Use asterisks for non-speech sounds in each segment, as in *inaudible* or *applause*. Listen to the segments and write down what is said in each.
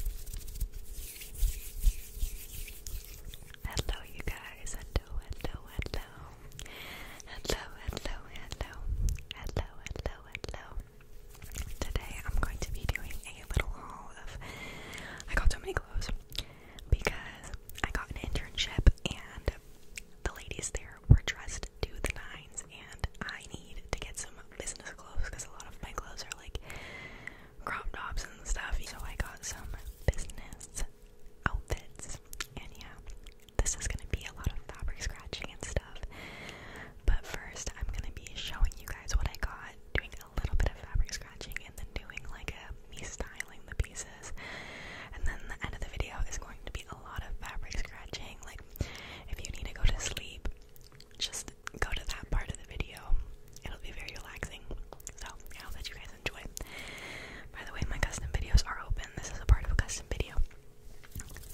Hello, you guys. Hello, hello, hello. Hello, hello, hello. Today I'm going to be doing a little haul of. I got so many clothes because I got an internship and the ladies there were dressed to the nines, and I need to get some business clothes because a lot of my clothes are like crop tops and stuff. So I got some business outfits, and yeah, this is gonna be a lot of fabric scratching and stuff. But first, I'm gonna be showing you guys what I got, doing a little bit of fabric scratching, and then doing like a me styling the pieces. And then the end of the video is going to be a lot of fabric scratching. Like, if you need to go to sleep, just go to that part of the video. It'll be very relaxing. So I'll let you guys enjoy. By the way, my custom videos are open. This is a part of a custom video.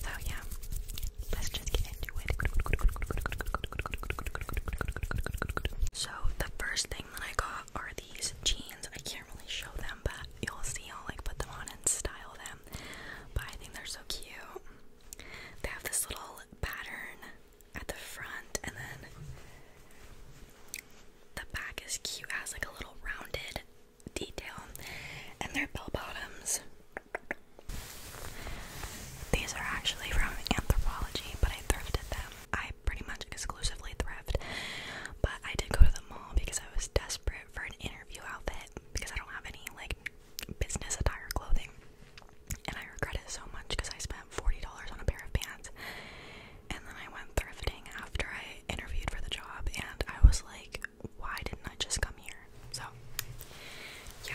So yeah, let's just get into it. So the first thing that I got are these jeans. I can't really show them, but you'll see. I'll like put them on and style them. But I think they're so cute. They have this little pattern at the front, and then the back is cute, has like a little rounded detail, and they're bell bottoms. These are actually from Anthropology, but I thrifted them. I pretty much exclusively thrift, but I did go to the mall because I was desperate for an interview outfit because I don't have any like business attire clothing and I regret it so much because I spent $40 on a pair of pants. And then I went thrifting after I interviewed for the job, and I was like, why didn't I just come here? So, yeah.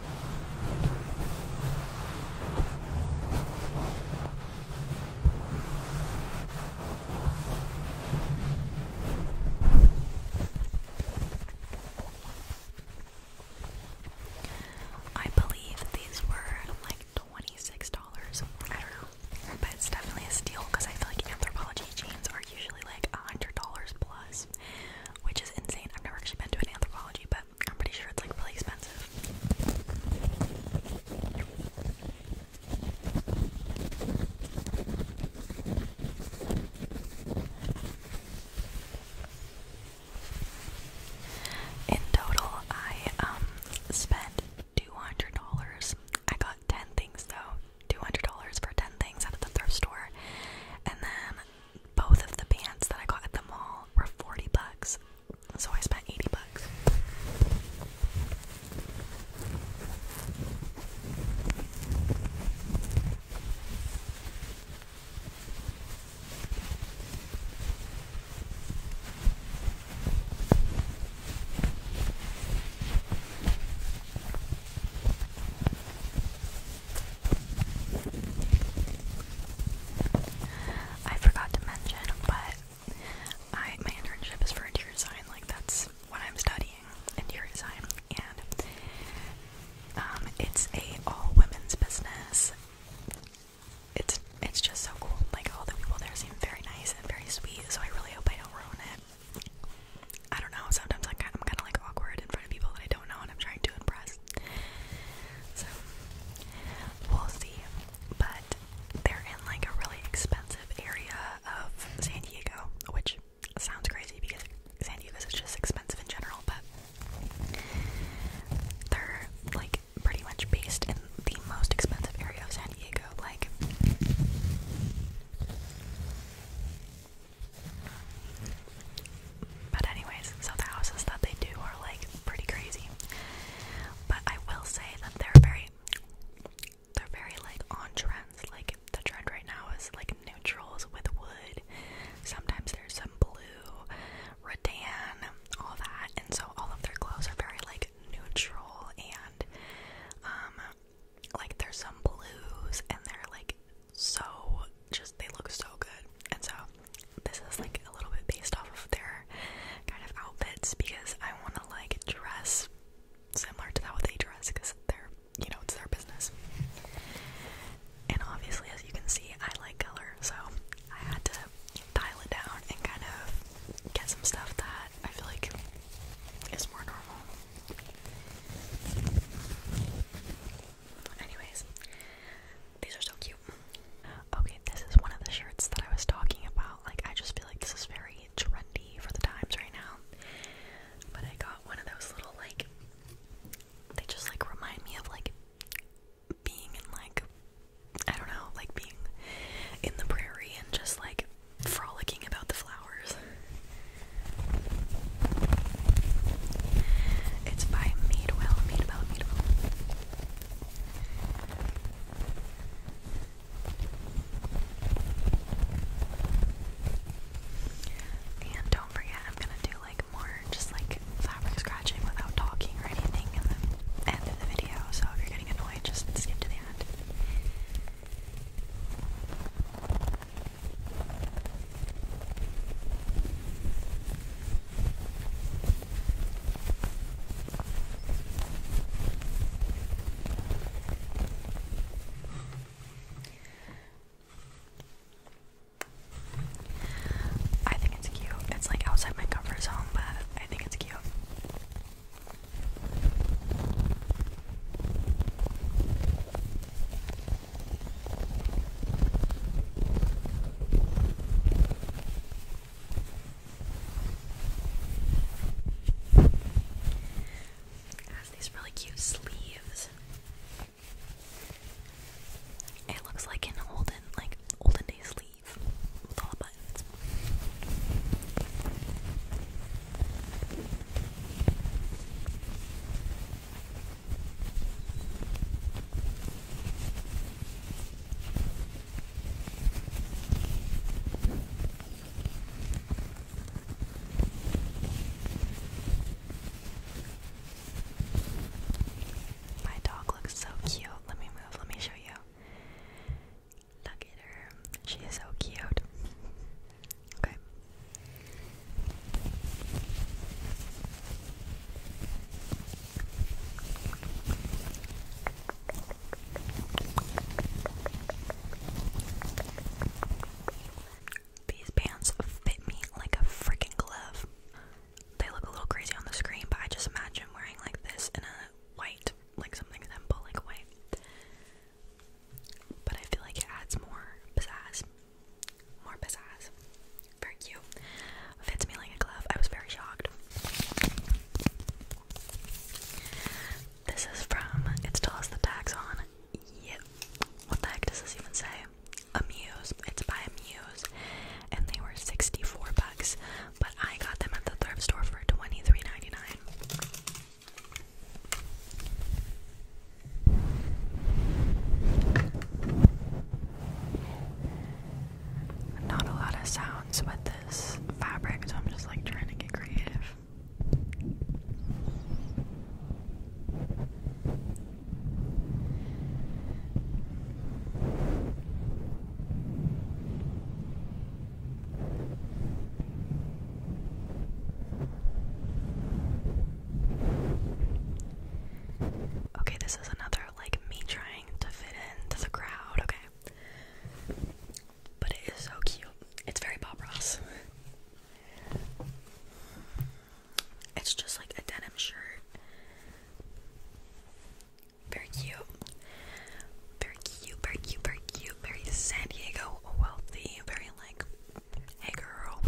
I believe these were like $26. I don't know. But it's definitely a steal because I feel like anthropology jeans are usually like $100 plus, which is insane. I've never actually been to an anthropology, but I'm pretty sure it's like really expensive. In total, I um, spent two hundred dollars. I got ten things though, two hundred dollars for ten things out of the thrift store, and then both of the pants that I got at the mall were 40 bucks. So I spent 80 bucks. I forgot to mention, but I my internship is for interior design. Like that's what I'm studying, interior design, and um, it's a all women's business. It's it's just so cool. Like all the people there seem very nice and very sweet. So I really hope I don't ruin it. I don't know. Sometimes I, I'm kind of like awkward in front of people that I don't know and I'm trying to impress. So we'll see. But they're in like a really expensive area of San Diego, which sounds crazy because San Diego is just expensive in general, but they're like pretty much based in the most expensive area of San Diego, like but anyways, so the houses that they do are like pretty crazy. But I will say that they're very they're very like on trends. Like the trend right now is like neutrals with wood. Sometimes there's some blue, rattan, all that. And so all of their clothes are very like neutral and um like there's some blues and they're like so just they look so good. And so this is like a little bit based off of their kind of outfits because I want to like dress similar to how they dress because they're, you know, it's their business. And obviously, as you can see, I like color, so I had to dial it down and kind of get some stuff that I feel like is more normal. Anyways, these are so cute. Okay, this is one of the shirts that I was talking about. Like, I just feel like this is very trendy for the times right now. But I got one of those little, like, they just, like, remind me of, like, being in, like, I don't know, like, being in the prairie and just, like, frolicking about the flowers. It's by Madewell, Madewell, Madewell. And don't forget, I'm gonna do like more just like fabric scratching without talking or anything in the end of the video. So if you're getting annoyed, just skip to the end. I think it's cute. It's like outside my comfort zone, but I think it's cute. It has these really cute sleeves. It looks like an olden, like olden day sleeve with all the buttons. My dog looks so cute. Let me move. Let me show you. Look at her. She is so cute. Okay. These pants fit me like a freaking glove. They look a little crazy on the screen, but I just imagine wearing like this in a white, like something simple, like white. But I feel like it adds more pizzazz. More pizzazz. Very cute. Fits me like a glove. I was very shocked. This is from It Still Has the Tags On. Yep. What the heck does this even say? Amuse. It's by Amuse. And they were 64 bucks, but I got them at the thrift store for 23 not a lot of sounds with this fabric, so I'm just like trying to get creative. Okay, this is another rather like me trying to fit into the crowd, okay? But it is so cute. It's very Bob Ross. It's just like a denim shirt. Very cute. Very cute, very cute, very cute, very San Diego wealthy, very like, hey girl.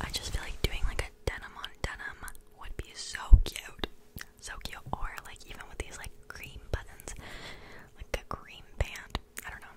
I just feel like doing like a denim on denim would be so cute. So cute. Or like even with these like cream buttons. Like a cream band. I don't know.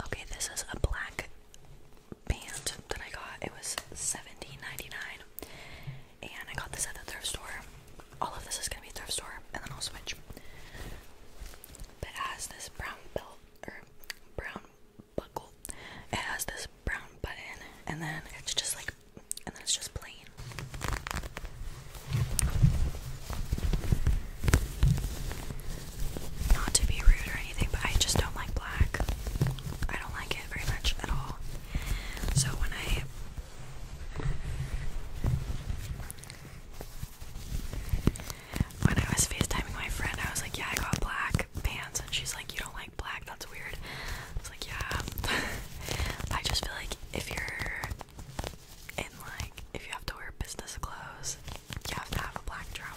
Okay, this is a black band that I got. It was 17 And I got this at the thrift store. All of this is gonna be thrift store, and then I'll switch it has this brown belt or brown buckle. It has this brown button, and then it's just like, and then it's just plain. Not to be rude or anything, but I just don't like black. I don't like it very much at all. So when I when I was FaceTiming my friend, I was like, Yeah, I got black pants. And she's like, You don't like black? That's weird. I was like, Yeah. *laughs* I just feel like if you're in, like, if you have to wear business clothes, you have to have a black trouser.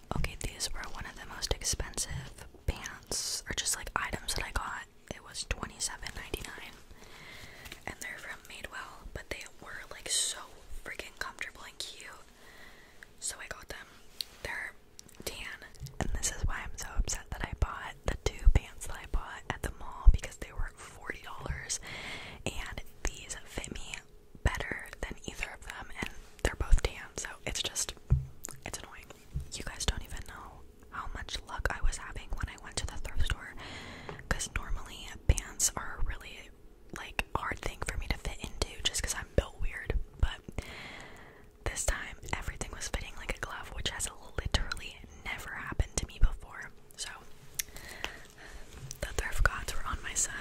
Okay, these were one of the most expensive pants, or just like items that I got. It was $27.99, and they're from Made Well, but they were like so freaking comfortable and cute. So I got them. They're tan, and this is why I'm so upset that I bought the two pants that I bought at the mall because they were $40, and these fit me better than either of them, and they're both tan, so it's just, it's annoying. You guys don't even know how much luck I was having when I went to the thrift store, because normally pants are really, like, hard thing for me to fit into just because I'm built weird, but this time everything was fitting like a glove, which has literally never happened to me before. So, the thrift gods were on my side.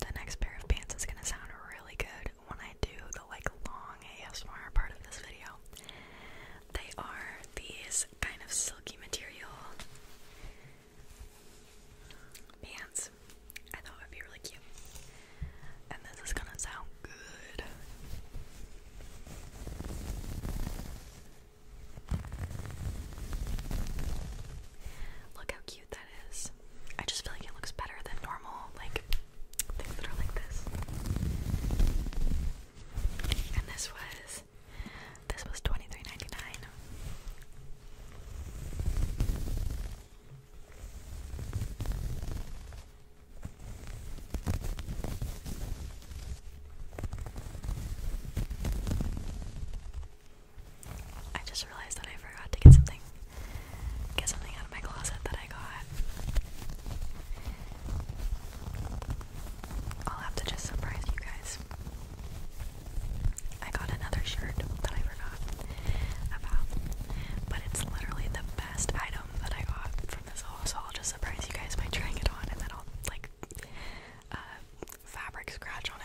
The next pair of pants is going to sound really good when I do the like long ASMR part of this video. They are these kind of silky material pants. I thought it would be really cute. And this is gonna sound good. Look how cute that is. I just feel like it looks better than normal, like things that are like this. And this was this was 23 I just realized that I forgot to get something get something out of my closet that I got. I'll have to just surprise you guys. I got another shirt that I forgot about, but it's literally the best item that I got from this haul, so I'll just surprise you guys by trying it on and then I'll like uh, fabric scratch on it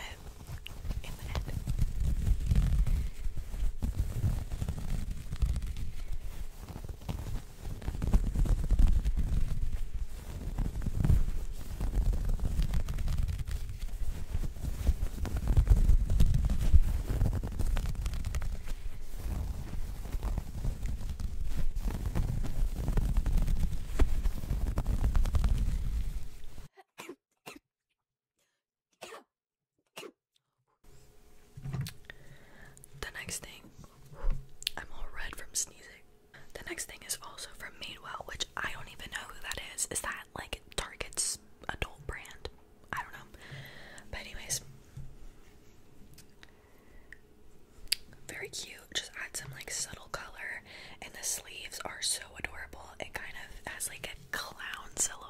the next thing, I'm all red from sneezing. The next thing is also from Madewell, which I don't even know who that is. Is that like Target's adult brand? I don't know. But anyways, very cute. Just add some like subtle color, and the sleeves are so adorable. It kind of has like a clown silhouette.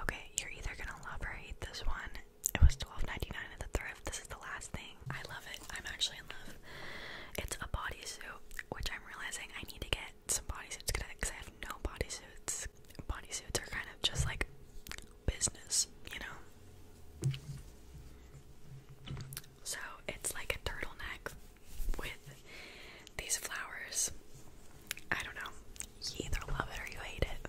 Okay, you're either gonna love or hate this one. It was $12.99 at the thrift. This is the last thing. I love it. I'm actually in love. It's a bodysuit, which I'm realizing I need to get some bodysuits because I have no bodysuits. Bodysuits are kind of just like business, you know? So it's like a turtleneck with these flowers. I don't know. You either love it or you hate it.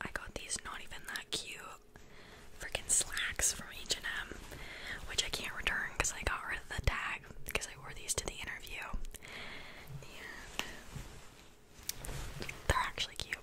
I got these not even that cute freaking slacks from H&M, which I can't return because I got rid of the tag because I wore these to the interview. they're actually cute.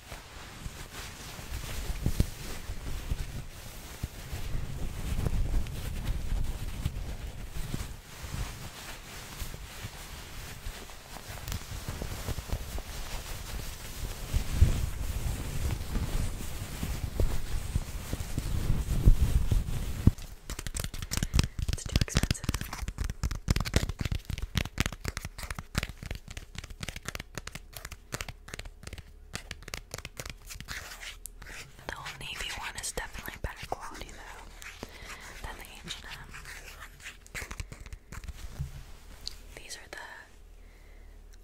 It's too expensive. The old navy one is definitely better quality though than the H&M. These are the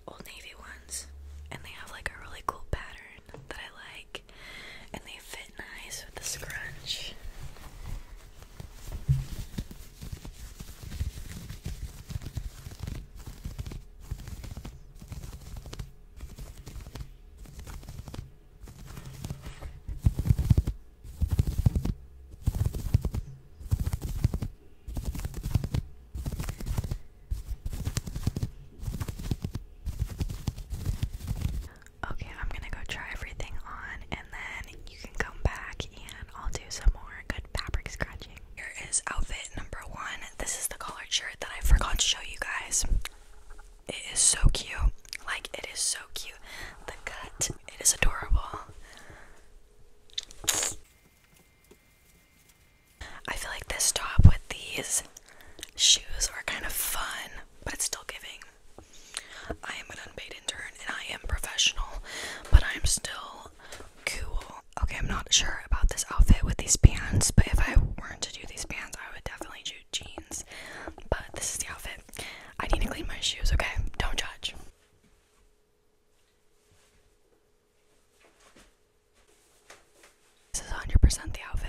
old navy ones, and they have like a really cool pattern that I like, and they fit nice with the scrunch. Okay, I'm gonna go try everything on and then you can come back and I'll do some more good fabric scratching. Here is outfit number one. This is the collared shirt that I forgot to show you guys. It is so cute. Like, it is so cute. The cut, it is adorable. I feel like this top with these shoes are kind of fun, but it's still giving. I am an unpaid intern and I am professional, but I'm still cool okay, I'm not sure about this outfit with these pants, but if I weren't to do these pants, I would definitely do jeans. But this is the outfit. I need to clean my shoes, okay? Don't judge. This is 100% the outfit.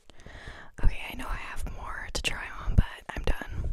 Okay, I know I have more to try on, but I'm done.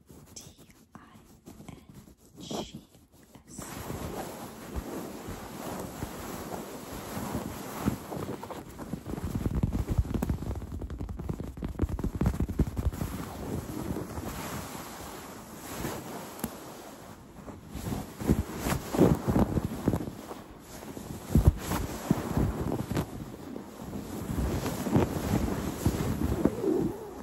T-I-N-G-S. Thank you